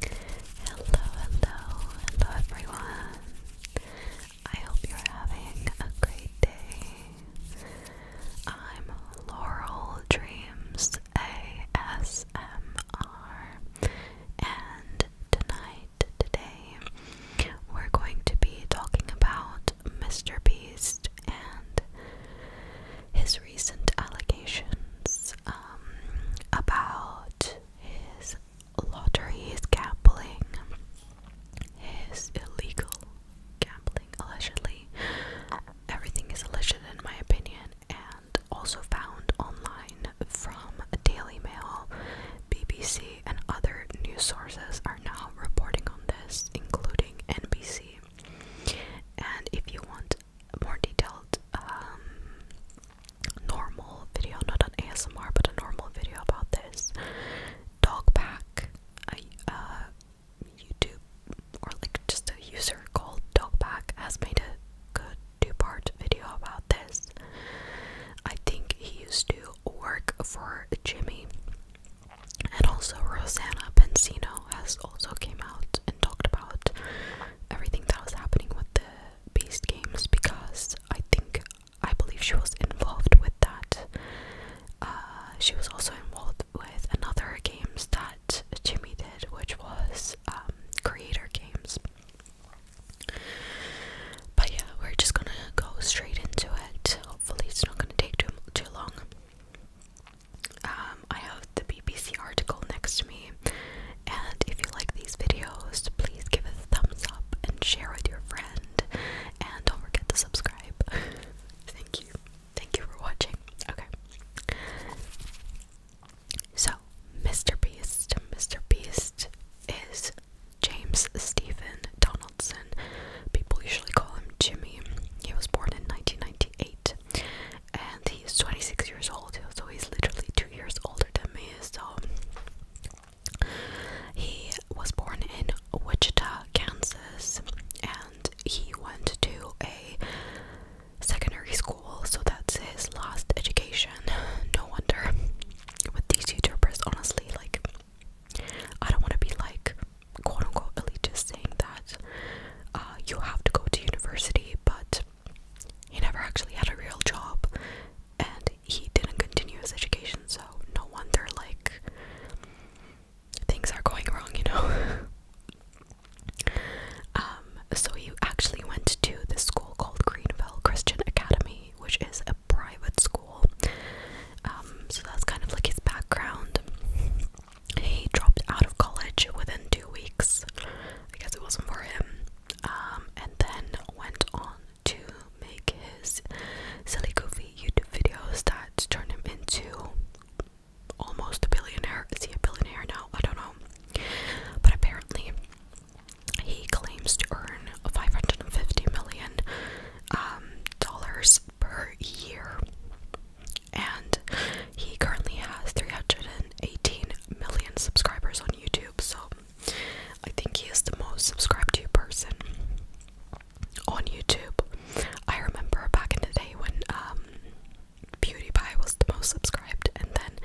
Hello, hello, hello everyone. I hope you're having a great day. I'm Laurel Dreams ASMR, and tonight, today, we're going to be talking about Mr. Beast and his his recent allegations um, about his lottery, his gambling, his illegal gambling, allegedly. Everything is alleged, in my opinion, and also found online from Daily Mail, BBC, and other news sources are now reporting on this, including NBC. And if you want more detailed um, normal video, not an ASMR, but a normal video about this dog pack. I, YouTube or like just a user called Dog Pack, has made a good two-part video about this. I think he used to work for Jimmy, and also Rosanna Pensino has also came out and talked about everything that was happening with the Beast Games because I think I believe she was involved with that. Uh, she was also involved with another games that Jimmy did, which was um, Creator Games. But yeah, we're just gonna go straight into it. Hopefully, it's not gonna take too too long. Um, I have the BBC article next to me. And if you like these videos, please give it a thumbs up and share with your friend. And don't forget to subscribe. Thank you. Thank you for watching. Okay. So, Mr. Beast. Mr. Beast is James Stephen Donaldson. People usually call him Jimmy. He was born in 1998 and he's 26 years old, so he's literally two years older than me. So he was born in Wichita, Kansas, and he went to a secondary school, so that's his last education. No wonder with these YouTubers, honestly, like I don't want to be like quote unquote elitist saying that uh, you have to go to university, but he never actually had a real job and he didn't continue his education, so no wonder, like, things are going wrong, you know? um, so he actually went to this school called Greenville Christian Academy, which is a private school. Um, so that's kind of like his background. He dropped out of college within two weeks. I guess it wasn't for him. Um, and then went on to make his silly, goofy YouTube videos that turned him into almost a billionaire. Is he a billionaire now? I don't know. But apparently, he claims to earn 550 million um, dollars per year and he currently has 318 million subscribers on YouTube. So I think he is the most subscribed person on YouTube. I remember back in the day when um, PewDiePie was the most subscribed, and then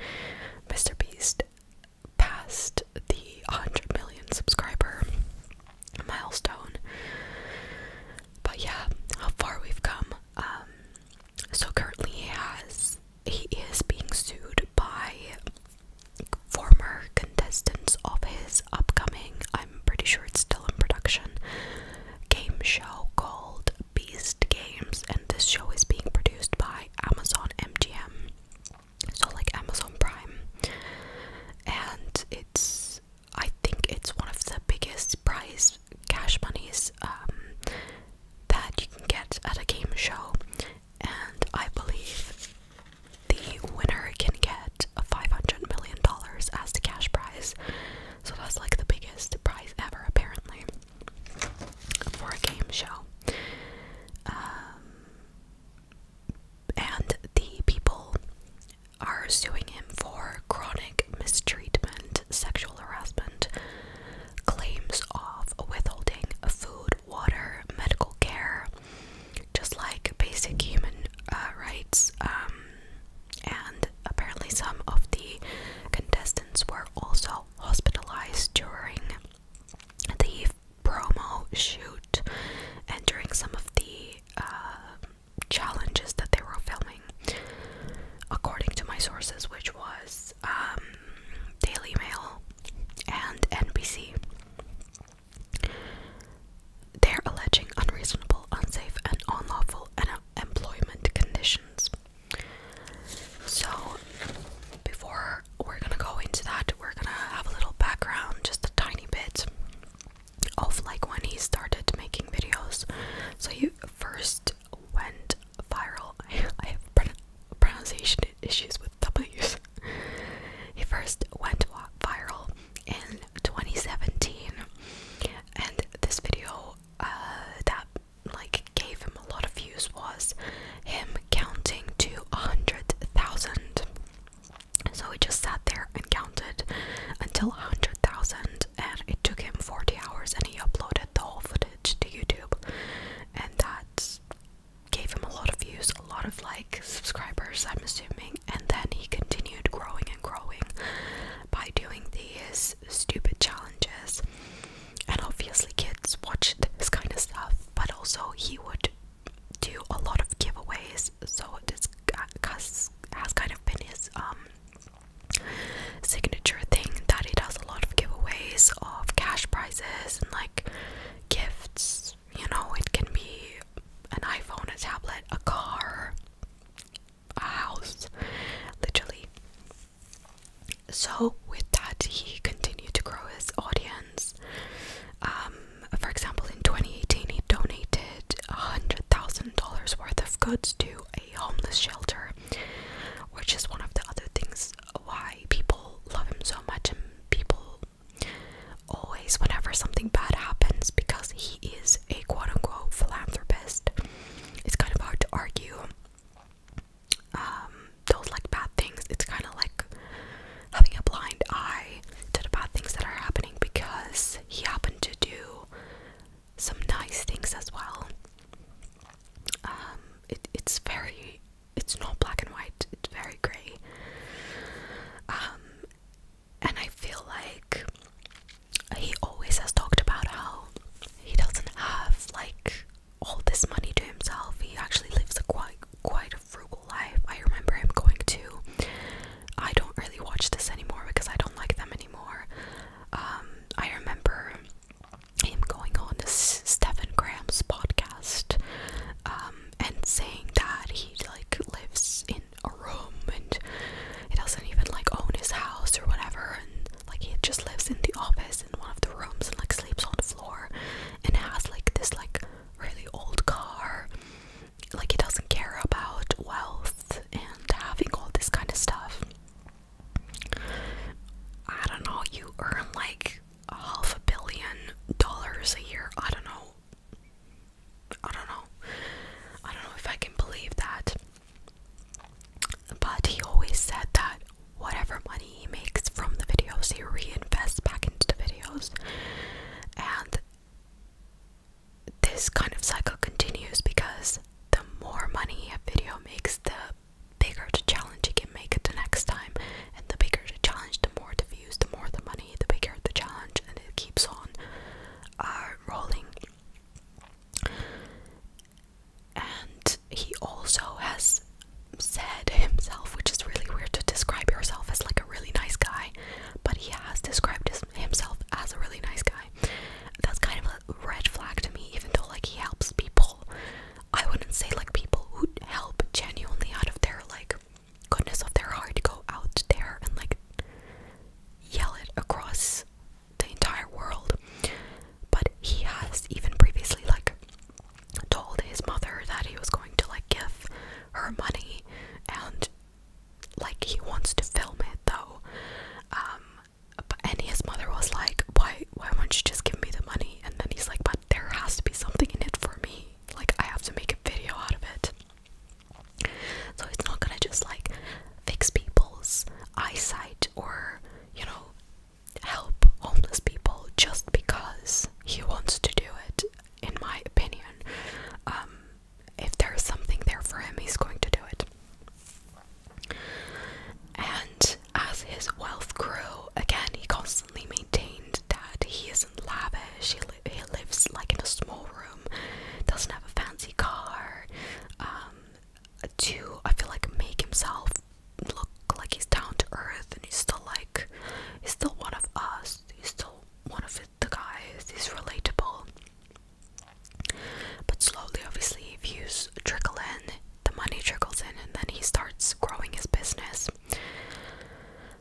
Mr. Beast passed the 100 million subscriber milestone. But yeah, how far we've come. Um, so currently he has he is being sued by former contestants of his upcoming, I'm pretty sure it's still in production, game show called Beast Games and this show is being produced by Amazon MGM. So like Amazon Prime. And it's I think it's one of the biggest prize cash bunnies um, that you can get at a game show, and I believe the winner can get a $500 million as the cash prize. So that's like the biggest prize ever, apparently, for a game show. Um, and the people are suing him for chronic mistreatment, sexual harassment, claims of withholding food, water, medical care, just like basic human uh, rights. Um, and apparently, some of the contestants were also hospitalized during the promo shoot and during some of the uh, challenges that they were filming according to my sources, which was um, Daily Mail and NBC. They're alleging unreasonable, unsafe, and unlawful employment conditions. So, before we're gonna go into that, we're gonna have a little background, just a tiny bit of like when he started making videos. So, he first it went viral. I have pronunciation issues with W's. it first went viral in 2017, and this video uh, that like gave him a lot of views was him counting to a hundred thousand. So he just sat there and counted until a hundred thousand, and it took him 40 hours and he uploaded the whole footage to YouTube and that gave him a lot of views, a lot of like subscribers I'm assuming and then he continued growing and growing by doing these stupid challenges and obviously kids watched this kind of stuff but also he would do a lot of giveaways so this has kind of been his um signature thing that he does a lot of giveaways of cash prizes and like gifts. You know, it can be an iPhone, a tablet, a car, a house, literally. So, with that, he continued to grow his audience. Um, for example, in 2018, he donated a $100,000 worth of goods to homeless shelter, which is one of the other things why people love him so much and people always whenever something bad happens because he is a quote-unquote philanthropist it's kind of hard to argue um those like bad things it's kind of like having a blind eye to the bad things that are happening because he happened to do some nice things as well. Um, it, it's very, it's not black and white, it's very grey. Um, and I feel like he always has talked about how he doesn't have like all this money to himself. He actually lives a quite quite a frugal life. I remember him going to I don't really watch this anymore because I don't like them anymore. Um I remember him going on Stephen Graham's podcast um, and saying that he like lives in a room and he doesn't even like own his house or whatever and like he just lives in the office in one of the rooms and like sleeps on the floor and has like this like really old car like he doesn't care about wealth and having all this kind of stuff I don't know, you earn like half a billion dollars a year. I don't know. I don't know. I don't know if I can believe that. But he always said that whatever money he makes from the videos, he reinvests back into the videos. And this kind of cycle continues because the more money a video makes, the bigger the challenge you can make it the next time. And the bigger the challenge, the more the views, the more the money, the bigger the challenge, and it keeps on uh, rolling. And he also has said himself, which is really weird to describe yourself as like a really nice guy, but he has described himself as a really nice guy. That's kind of red flag to me, even though like he helps people. I wouldn't say like people who help genuinely out of their like goodness of their heart go out there and like yell it across the entire world. But he has even previously like told his mother that he was going to like give her money and like he wants to film it though. Um, but and his mother was like, why why won't you just give me the money? And then he's like, but there has to be something in it for me. Like I have to make a video out of it. So it's not gonna just like fix people's eyesight or you know help homeless people just because he wants to do it. In my opinion, um, if there is something there for him, he's going to do it. And as his wealth grew, again, he constantly maintained that he isn't lavish, he, lives like in a small room, doesn't have a fancy car, um, to, I feel like, make himself look like he's down to earth and he's still like, he's still one of us, he's still one of the guys, he's relatable. But slowly, obviously, views trickle in, the money trickles in, and then he starts growing his business.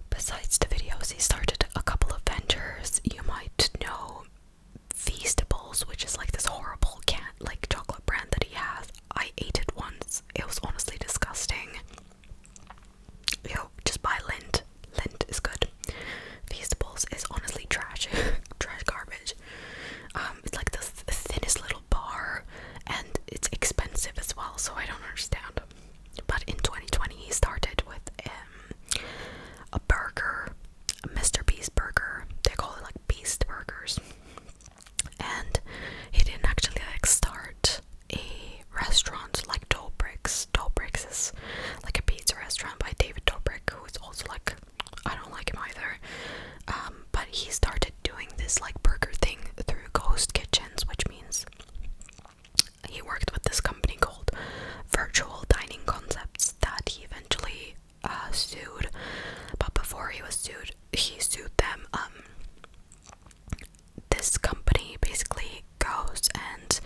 Besides the videos, he started a couple of ventures. You might know Feastables, which is like this horrible cat like chocolate brand that he has. I ate it once. It was honestly disgusting. Yo, just buy lint. Lint is good. Feastables is honestly trash. trash garbage. Um, it's like the thinnest little bar, and it's expensive as well, so I don't understand. But in 2020, he started with um, a burger, Mr. Beast burger. They call it like Beast Burgers. And he didn't actually like start a restaurant like Dobrik's. Dobrik's is like a pizza restaurant by David Dobrik, who is also like I don't like him either. Um, but he started doing this like burger thing through ghost kitchens, which means he worked with this company called Virtual Dining Concepts that he eventually uh, sued. But before he was sued, he sued them. Um, this company basically goes and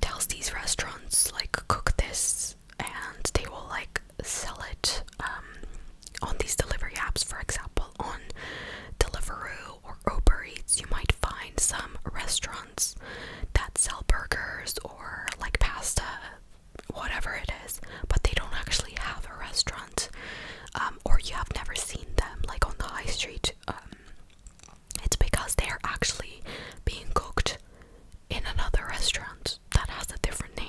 tells these restaurants like cook this and they will like sell it um, on these delivery apps. For example, on Deliveroo or Uber Eats, you might find some restaurants that sell burgers or like pasta, whatever it is, but they don't actually have a restaurant um, or you have never seen them like on the high street. Um, it's because they're actually being cooked in another restaurant that has a different name.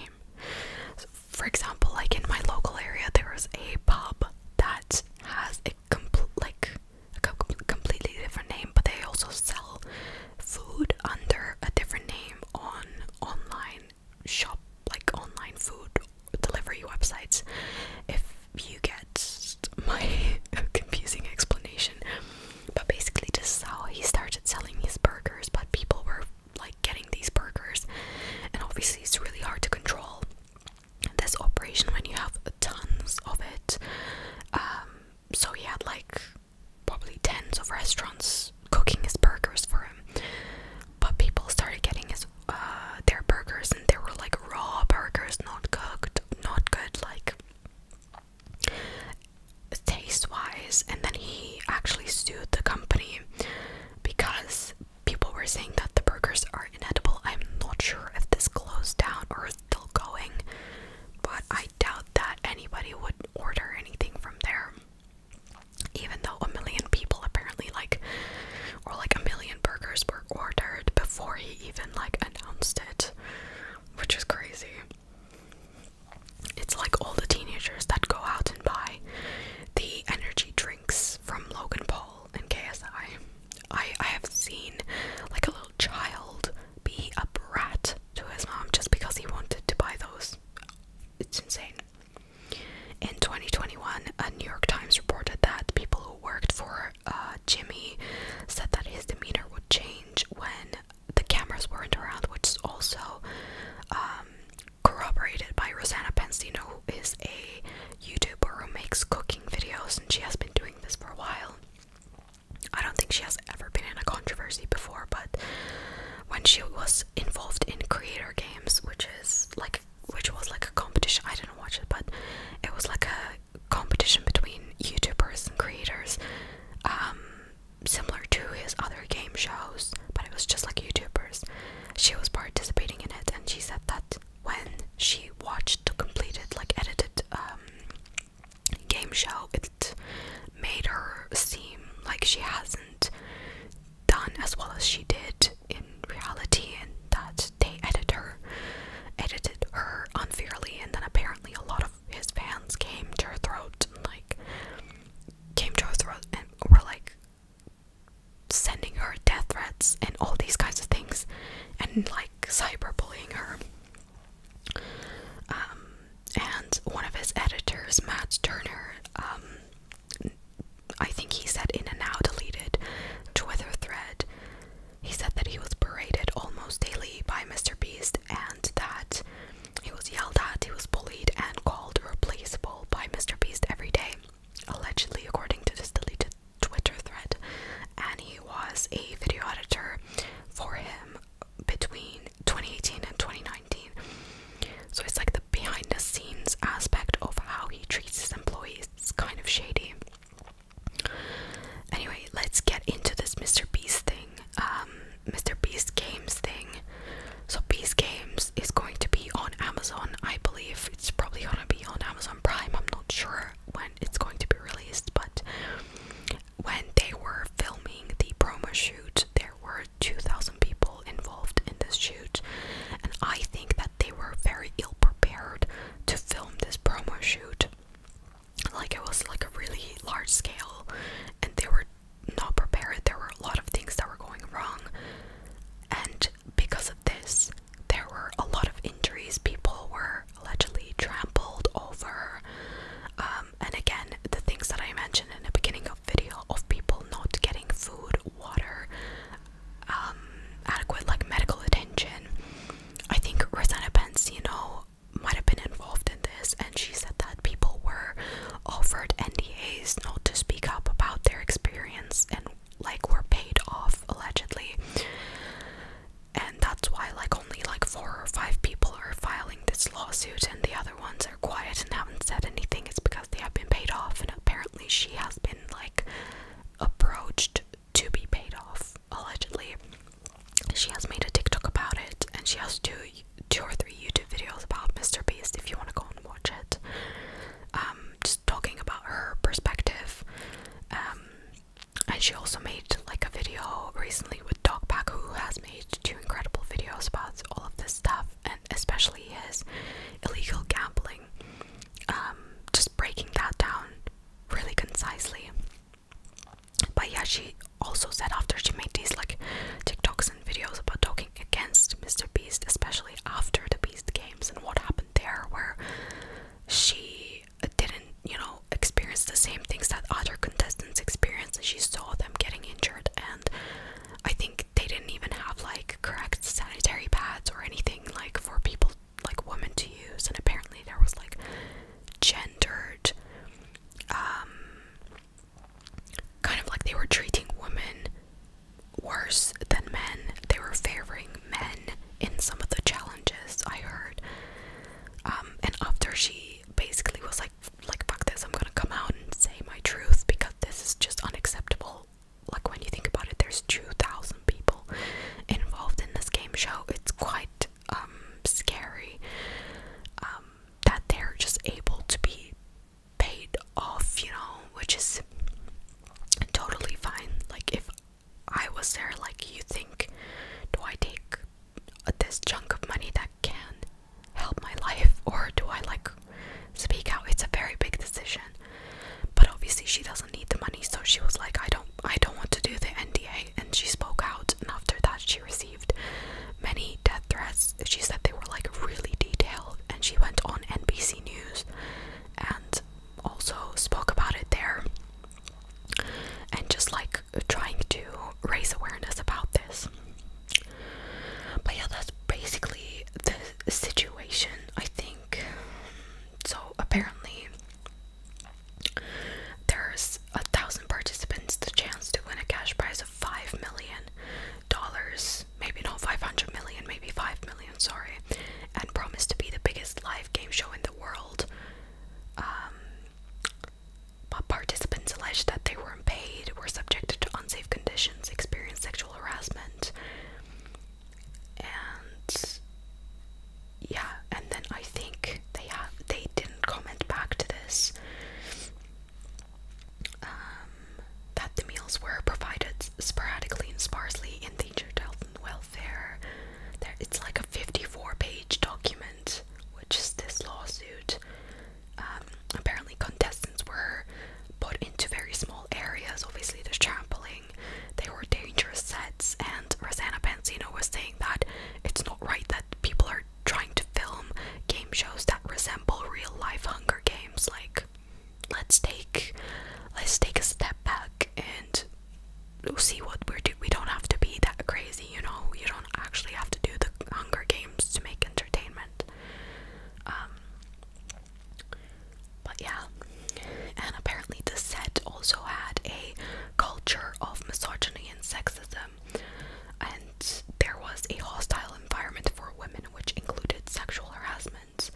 for example, like in my local area, there is a pub that has a complete like a completely different name, but they also sell food under a different name on online shop like online food delivery websites. If you get my confusing explanation, but basically, this is how he started selling his burgers. But people were like getting these burgers, and obviously, it's really hard to control this operation when you have tons of it. Um, so he had like probably tens of restaurants cooking his burgers for him, but people started getting his uh, their burgers, and they were like raw burgers, not cooked, not good, like taste wise, and then he actually sued the company because people were saying that the burgers are inedible. I'm not sure if this closed down or is still going, but I doubt that anybody would order anything from there. Even though a million people apparently like or like a million burgers were ordered before he even like announced it, which is crazy. It's like all the teenagers that go out and buy the energy drinks from Logan Paul and KSI. I, I have seen like a little child be a brat to his mom just because he wanted to buy those. It's insane. In 2021, a New York Times reported that people who worked for uh, Jimmy said that his demeanor would change when the cameras weren't around, which is also um, corroborated by Rosanna Pensino, who is a YouTuber who makes cooking videos, and she has been doing this for a while. I don't think she has ever been in a controversy before, but when she was involved in Creator Games, which is like which was like a competition, I didn't watch it, but it was like a competition between YouTubers and creators. Um, similar to his other game shows, but it was just like YouTubers. She was participating in it, and she said that when she watched the completed, like edited um, game show, it made her seem like she hasn't done as well as she did in reality, and that they editor edited her unfairly, and then apparently a lot of his fans came to her throat like came to her throat and were like sending her death threats and all these kinds of things and like cyberbullying her. Um, and one of his editors, Matt Turner, um, I think he said in a now deleted Twitter thread, he said that he was berated almost daily by Mr and that he was yelled at, he was bullied, and called replaceable by Mr. Beast every day, allegedly, according to this deleted Twitter thread. And he was a video editor for him between 2018 and 2019. So it's like the behind the scenes aspect of how he treats his employees. It's kind of shady. Anyway, let's get into this Mr. Beast thing. Mr. Um, Beast Games thing. So Beast Games is going to be on Amazon, I believe. It's probably gonna be on Amazon Prime. I'm not sure when it's going to be released, but when they were filming the promo shoot, there were 2,000 people involved in this shoot, and I think that they were very ill prepared to film this promo shoot like it was like a really large scale and they were not prepared there were a lot of things that were going wrong and because of this there were a lot of injuries people were allegedly trampled over um, and again the things that i mentioned in the beginning of video of people not getting food water um, adequate like medical attention i think rosanna pence you know might have been involved in this, and she said that people were offered NDAs not to speak up about their experience and like were paid off allegedly. And that's why like only like four or five people are filing this lawsuit and the other ones are quiet and haven't said anything. It's because they have been paid off and apparently she has been like approached to be paid off allegedly she has made a TikTok about it, and she has two, two or three YouTube videos about Mr. Beast. If you want to go and watch it, um, just talking about her perspective. Um, and she also made like a video recently with Dog Pack, who has made two incredible videos about all of this stuff, and especially his illegal gambling. Um, just breaking that down really concisely. But yeah, she also said after she made these like TikToks and videos about talking against Mr. Beast, especially after the Beast games and what happened there, where she didn't, you know, experience the same things that other contestants experienced, and she saw them getting injured. And I think they didn't even have like correct sanitary pads or anything like for people like women to use, and apparently there was like gendered um, kind of like they were treating women worse than men. They were favoring men in some of the challenges I heard. Um, and after she basically was like, like fuck this, I'm gonna come out and say my truth because this is just unacceptable. Like when you think about it, there's 2,000 people involved in this game show. It's quite um, scary um, that they're just able to be paid off, you know, which is totally fine. Like, if I was there, like, you think, do I take this chunk of money that can help my life, or do I like speak out? It's a very big decision, but obviously she doesn't need the money, so she was like, I don't, I don't want to do the NDA. And she spoke out, and after that, she received many death threats. She said they were like really detailed, and she went on NBC News and also spoke about it there and just like trying to raise awareness about this. But yeah, that's basically the situation, I think. So apparently, there's a thousand participants the chance to win a cash prize of five million dollars, maybe not five hundred million, maybe five million, sorry, and promised to be the biggest live game show in the world. Um, but participants alleged that they were unpaid, were subjected to unsafe conditions, experienced sexual harassment, and yeah, and then I think they have they didn't comment back to this. Um, that the meals were provided sporadically and sparsely in danger to health and welfare. There, it's like a 54-page document, which is this lawsuit. Um, apparently, contestants were put into very small areas. Obviously, there's trampling. They were dangerous sets, and Rosanna Benzino was saying that it's not right that people are trying to film game shows that resemble real life Hunger Games. Like, let's take let's take a step back and see what we're doing. We don't have to be that crazy, you know. You don't actually have to do the Hunger Games to make entertainment. Um, but yeah, and apparently the set also had a culture of misogyny and sexism, and there was a hostile environment for women which included sexual harassment.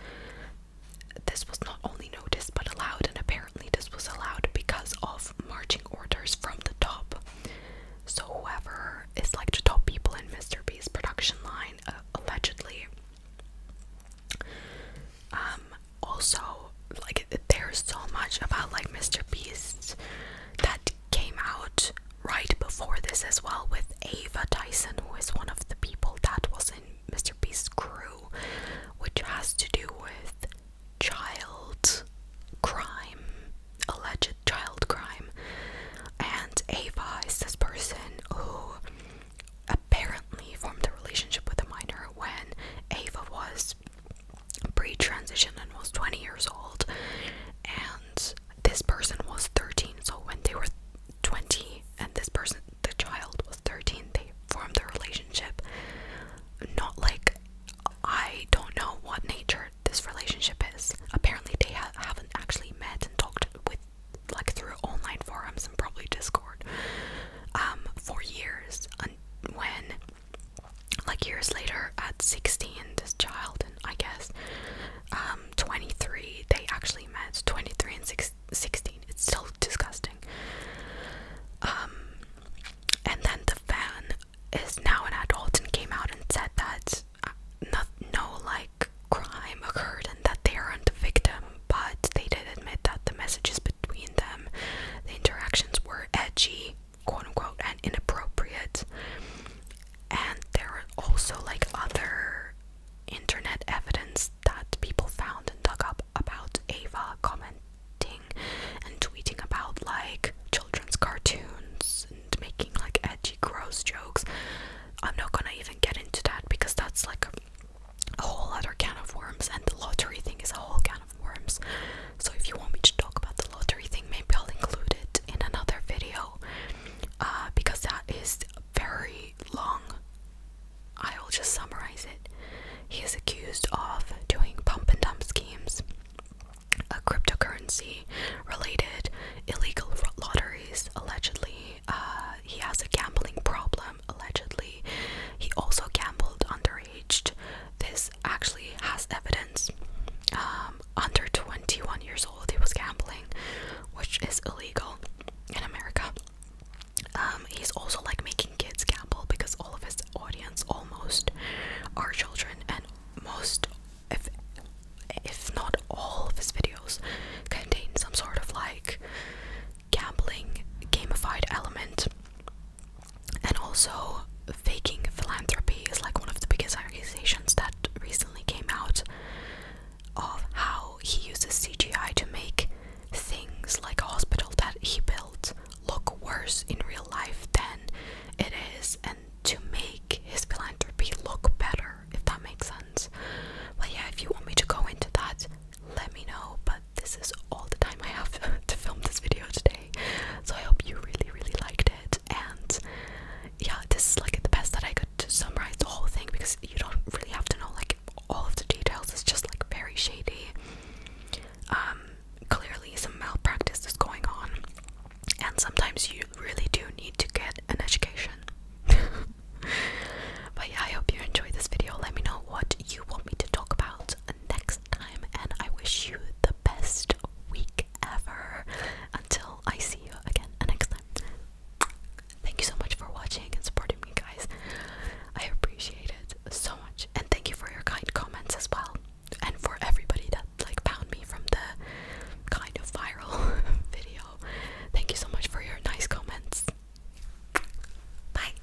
This was not only noticed but allowed, and apparently, this was allowed because of marching orders from the top. So, whoever is like the top people in Mr. B's production line, uh, allegedly, um, also like there's so much about like Mr. Beast that came out right before this as well with Ava Tyson who is one of the people that was in Mr. Beast's crew which has to do with child crime alleged child crime and Ava is this person who apparently formed a relationship with a minor when Ava was pre-transition and was 20 years old and this person was 13 so when they were 20 and this person the child was 13 they formed a relationship not like i don't know what nature this relationship is apparently they haven't actually met and talked with like through online forums and probably discord um for years and when like years later at 16 this child and i guess um 23 they actually met 23 and 16 it's still disgusting um and then the fan is now an adult and came out and said that uh, not, no like crime occurred and that they aren't the victim but they did admit that the messages between them the interactions were edgy quote unquote and inappropriate and there are also like other internet evidence that people found and dug up about Ava commenting and tweeting about like children's cartoons and making like edgy gross jokes. I'm not gonna even get into that because that's like a whole other can of worms and the lottery thing is a whole can of worms. So if you want me to talk about the lottery thing, maybe I'll include it in another video uh, because that is very long. I will just summarize it. He is accused of doing pump and dump schemes, a cryptocurrency related illegal lotteries, allegedly. Uh, he has a gambling problem, allegedly. He also gambled underage. This actually has evidence. Um, under 21 years old, he was gambling, which is illegal in America. Um, he's also like making kids gamble because all of his audience almost are children, and most, if if not all of his videos, contain some sort of like gambling gamified element. And also, faking philanthropy is like one of the biggest accusations that recently came out of how he uses CGI to make things like a hospital that he built look worse in real life than it is and to make his philanthropy look better, if that makes sense. But yeah, if you want me to go into that, let me know. But this is all the time I have to film this video today. So I hope you really, really liked it. And yeah, this is like the best that I could to summarize the whole thing because you don't really have to know like all of the details. It's just like very shady. Um, clearly some malpractice is going on, and sometimes you really do need to get an education. but yeah, I hope you enjoyed this video. Let me know what you want me to talk about next time, and I wish you the best week ever. Until I see you again next time. Thank you so much for watching and supporting me, guys. I appreciate it so much, and thank you for your kind comments as well, and for everybody that like found me from the kind of viral video. Thank you so much for your nice comments. Bye.